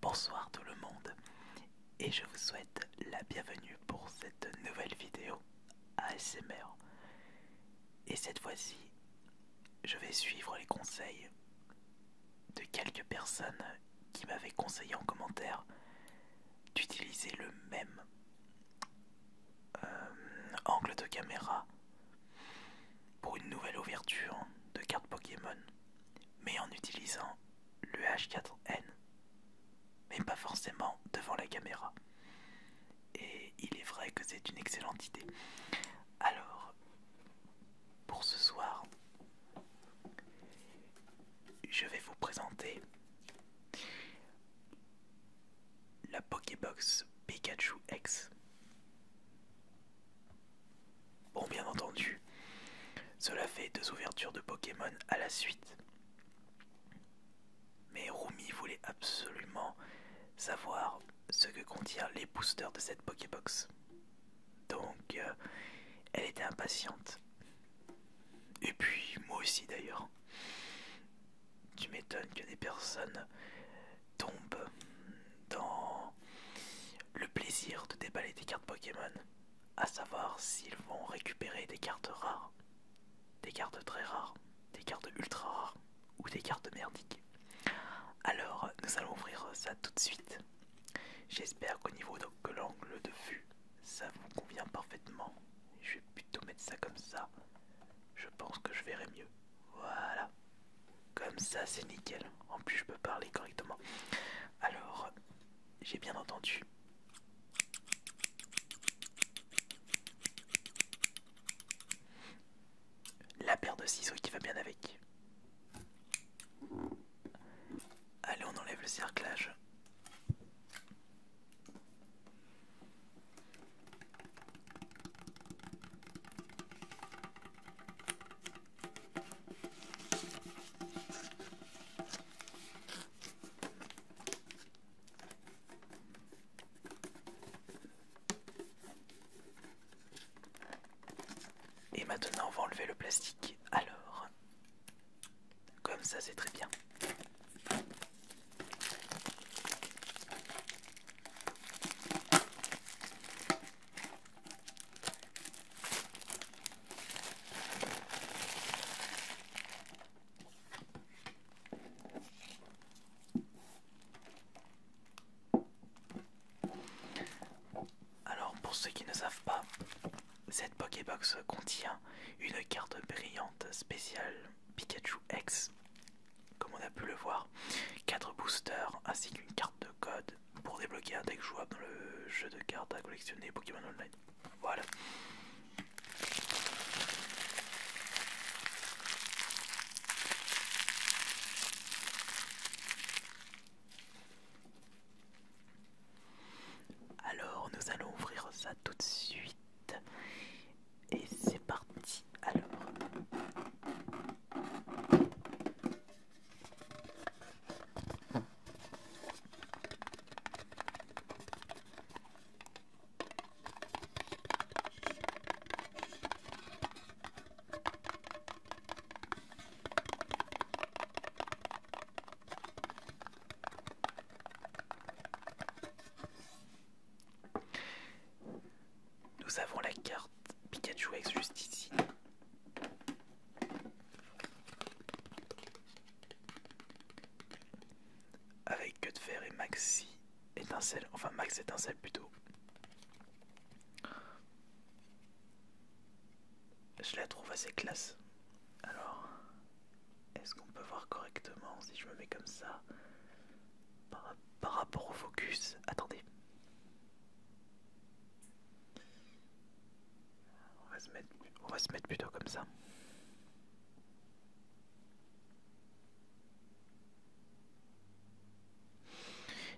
Bonsoir tout le monde et je vous souhaite la bienvenue pour cette nouvelle vidéo ASMR. Et cette fois-ci, je vais suivre les conseils de quelques personnes qui m'avaient conseillé en commentaire d'utiliser le même euh, angle de caméra pour une nouvelle ouverture de cartes Pokémon, mais en utilisant le H4N, mais pas forcément devant la caméra. Et il est vrai que c'est une excellente idée. Alors, pour ce soir, je vais vous présenter la Pokébox Pikachu X. Bon, bien entendu, cela fait deux ouvertures de Pokémon à la suite. Mais Rumi voulait absolument savoir ce que contiennent les boosters de cette Pokébox. Donc, euh, elle était impatiente. Et puis, moi aussi d'ailleurs. Tu m'étonnes que des personnes tombe dans le plaisir de déballer des cartes Pokémon, à savoir s'ils vont récupérer des cartes rares, des cartes très rares, des cartes ultra rares ou des cartes merdiques. Alors nous allons ouvrir ça tout de suite. J'espère qu'au niveau de l'angle de vue, ça vous convient parfaitement. Je vais plutôt mettre ça comme ça. Je pense que je verrai mieux. Voilà. Comme ça, c'est nickel. En plus, je peux parler correctement. Alors, j'ai bien entendu. La paire de ciseaux qui va bien avec. Allez, on enlève le cerclage. Et maintenant, on va enlever le plastique. Alors, comme ça, c'est très bien. Alors pour ceux qui ne savent pas, cette Pokébox contient une carte brillante spéciale Pikachu X comme on a pu le voir, 4 boosters ainsi qu'une carte de code pour débloquer un deck jouable dans le jeu de cartes à collectionner Pokémon Online. Voilà. Alors nous allons ouvrir ça tout de suite et c'est parti alors. Nous avons la carte Pikachu X juste ici. Avec que de fer et Maxi étincelle, enfin Max étincelle plutôt. Je la trouve assez classe. Alors, est-ce qu'on peut voir correctement si je me mets comme ça par, rapport au focus. Attendez. va se on va se mettre plutôt comme ça.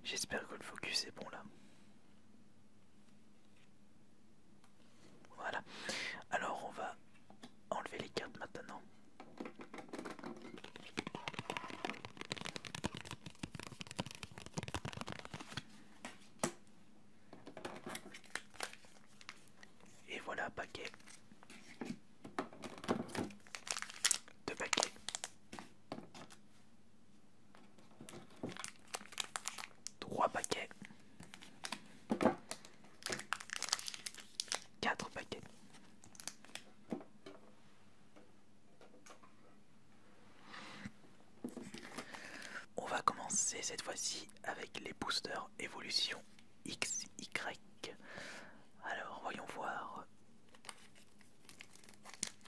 J'espère que le focus est bon là. Voilà. Alors on va enlever les cartes maintenant. Et voilà, paquet. Deux paquets. Trois paquets. Quatre paquets. On va commencer cette fois-ci avec les boosters évolution XY. Alors voyons voir.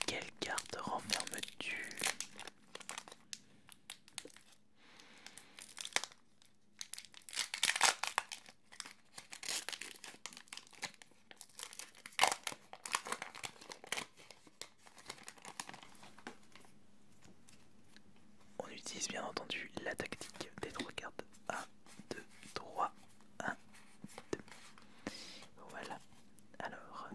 Quelle carte renferme-tu on utilise bien entendu la tactique des trois cartes. 1, 2, 3, 1, 2. Voilà. Alors...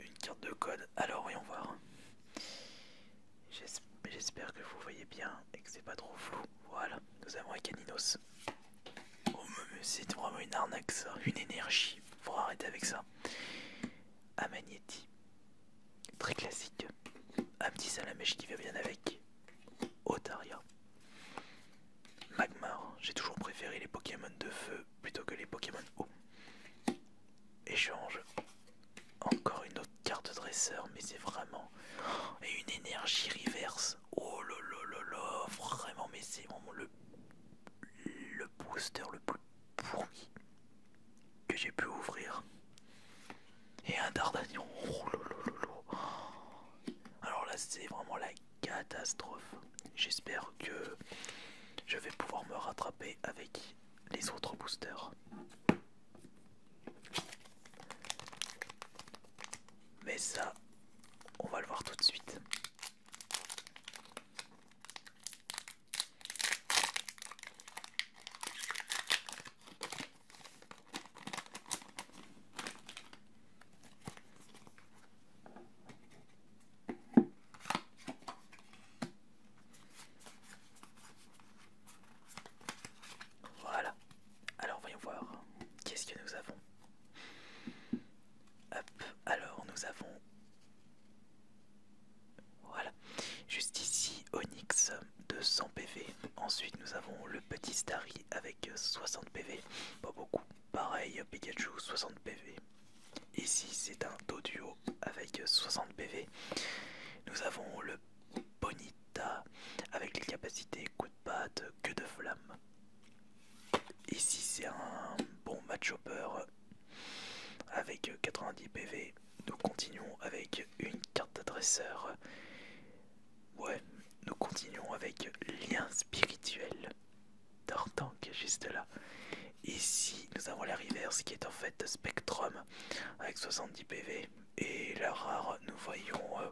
Une carte de code, alors voyons voir. J'espère que vous voyez bien et que c'est pas trop flou. Voilà, nous avons un caninos. Oh, c'est vraiment une arnaque une énergie. Faut arrêter avec ça. Un magnéti, très classique. Un petit salamèche qui va bien avec. Otaria. Magmar, j'ai toujours préféré les Pokémon de feu plutôt que les Pokémon eau. Échange. Encore une autre carte dresseur, mais c'est vraiment. Et une énergie reverse. Oh là vraiment, mais c'est vraiment le, le booster le plus pourri que j'ai pu ouvrir. Et un Dardanion. Oh Alors là, c'est vraiment la catastrophe. J'espère que je vais pouvoir me rattraper avec les autres boosters. Mais ça, on va le voir tout de suite. Voilà. Alors voyons voir. Qu'est-ce que nous avons Hop. Alors nous avons... Voilà. Juste ici, Onyx De 100 PV. Ensuite nous avons le petit Starry avec 60 PV. Pas beaucoup pareil Pikachu 60 PV. Ici c'est un dos duo avec 60 PV. Nous avons le Bonita avec les capacités coup de patte, queue de flamme. Ici c'est un bon match hopper avec 90 PV. Nous continuons avec une carte d'adresseur Ouais, nous continuons avec lien spirituel. D'Ortanque juste là. Ici, nous avons la reverse qui est en fait Spectrum avec 70 PV. Et la rare, nous voyons euh,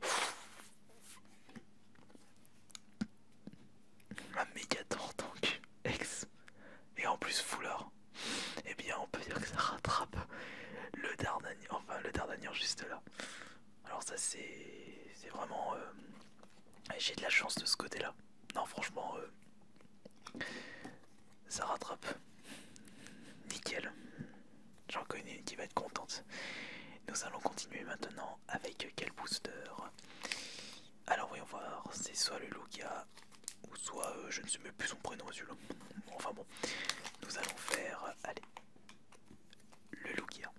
un méga D'Ortanque ex. Et en plus foulard. Eh bien, on peut dire que ça rattrape le Dardanian, enfin le Dardanian juste là. Alors ça c'est vraiment... Euh, j'ai de la chance de ce côté-là. Non franchement, euh, ça rattrape. Nickel. J'en connais une qui va être contente. Nous allons continuer maintenant avec quel booster Alors voyons voir, c'est soit le Lugia ou soit euh, je ne sais même plus son prénom celui-là. Enfin bon, nous allons faire... Allez, le Lugia.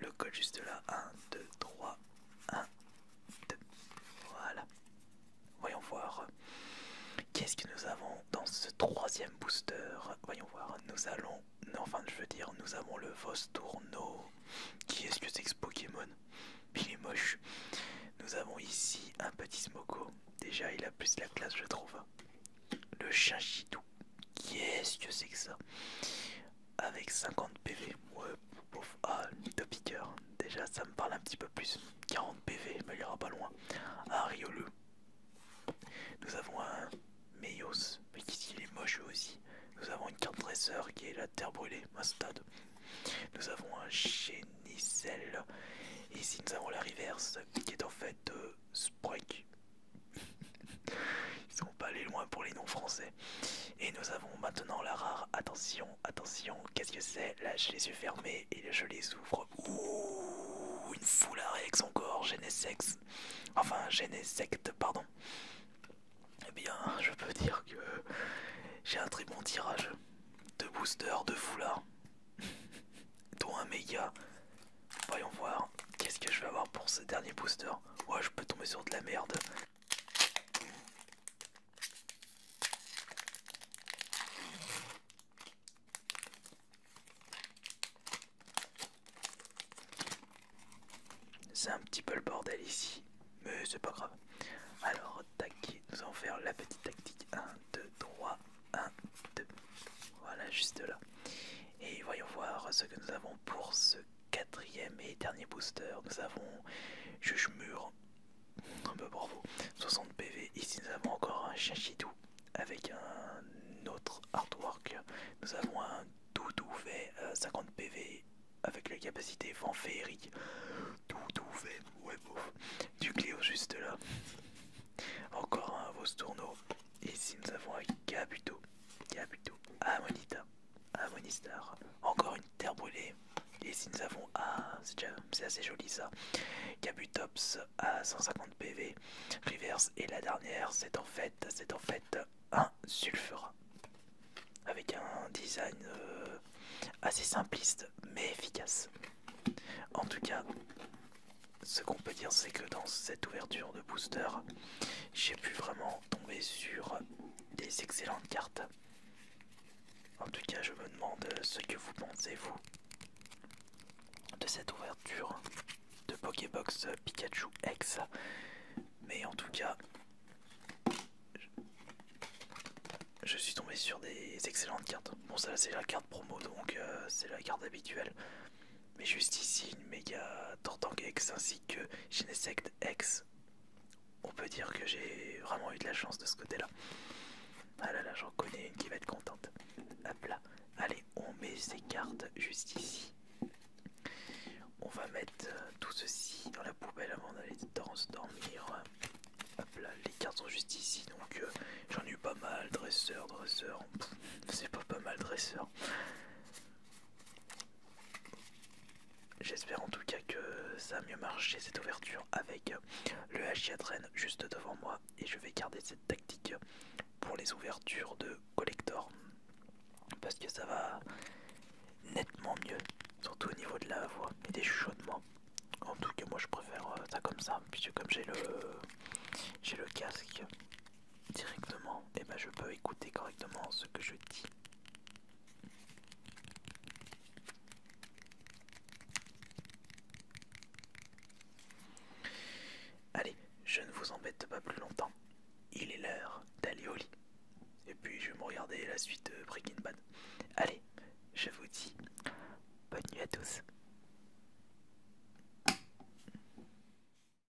Le code juste là, 1, 2, 3, 1, 2, voilà. Voyons voir. Qu'est-ce que nous avons dans ce troisième booster Voyons voir. Nous allons. Enfin, je veux dire, nous avons le Vostourno. Qui est-ce que c'est que ce Pokémon Il est moche. Nous avons ici un petit Smoko. Déjà, il a plus la classe, je trouve. Le Chinchidou. est ce que c'est que ça Avec 50 PV. Ouais, ah, déjà ça me parle un petit peu plus. 40 PV, mais il ira pas loin. Ah, Riolu. Nous avons un Meios, mais qui est moche aussi. Nous avons une carte dresseur qui est la terre brûlée, ma Nous avons un Chenicel. Et ici nous avons la reverse qui est en fait euh, Sprek. Ils Ils sont pas allés loin pour les noms français. Et nous avons maintenant la rare. Attention, attention, qu'est-ce que c'est Là, je les yeux fermés et je les ouvre. Ouh, une foulard avec son corps, sexe, Enfin, secte, pardon. Eh bien, je peux dire que j'ai un très bon tirage. de boosters, de foulards. Dont un méga. Voyons voir, qu'est-ce que je vais avoir pour ce dernier booster Ouais, je peux tomber sur de la merde. C'est un petit peu le bordel ici, mais c'est pas grave. Alors, tac, nous allons faire la petite tactique. 1, 2, 3, 1, 2. Voilà, juste là. Et voyons voir ce que nous avons pour ce quatrième et dernier booster, nous avons Jugemur, un peu bravo, 60 PV. Ici, nous avons encore un Chachidou avec un autre artwork. Nous avons un Doudou fait 50 PV avec la capacité Vent Doudou fait, ouais, du Cléo juste là. Encore un Vostourno. Ici, nous avons un Gabuto, à Monita. Un Encore une terre brûlée. Et si nous avons. Ah, c'est assez joli ça. Cabutops à 150 PV. Reverse. Et la dernière, c'est en fait, un sulfura. Avec un design euh, assez simpliste mais efficace. En tout cas, ce qu'on peut dire, c'est que dans cette ouverture de booster, j'ai pu vraiment tomber sur des excellentes cartes. En tout cas, je me demande ce que vous pensez, vous, de cette ouverture de Pokébox Pikachu X. Mais en tout cas, je suis tombé sur des excellentes cartes. Bon, ça c'est la carte promo, donc euh, c'est la carte habituelle. Mais juste ici, une méga Tortank X ainsi que Genesect X on peut dire que j'ai vraiment eu de la chance de ce côté-là. Ah là là, j'en connais une qui va être contente. Hop là. Allez, on met ces cartes juste ici. On va mettre euh, tout ceci dans la poubelle avant d'aller dormir. Hop là, les cartes sont juste ici, donc euh, j'en ai eu pas mal. Dresseur, dresseur. C'est pas pas mal, dresseur. J'espère en tout cas que ça a mieux marché cette ouverture avec le Hachiatrain juste devant moi et je vais garder cette tactique pour les ouvertures de collector parce que ça va nettement mieux surtout au niveau de la voix et des chuchotements. En tout cas moi je préfère euh, ça comme ça puisque comme j'ai le j'ai le casque directement, et eh ben je peux écouter correctement ce que je dis. Allez, je ne vous embête pas plus longtemps. Il est l'heure d'aller au lit. Et puis je vais me regarder la suite de Breaking Bad. Allez, je vous dis bonne nuit à tous.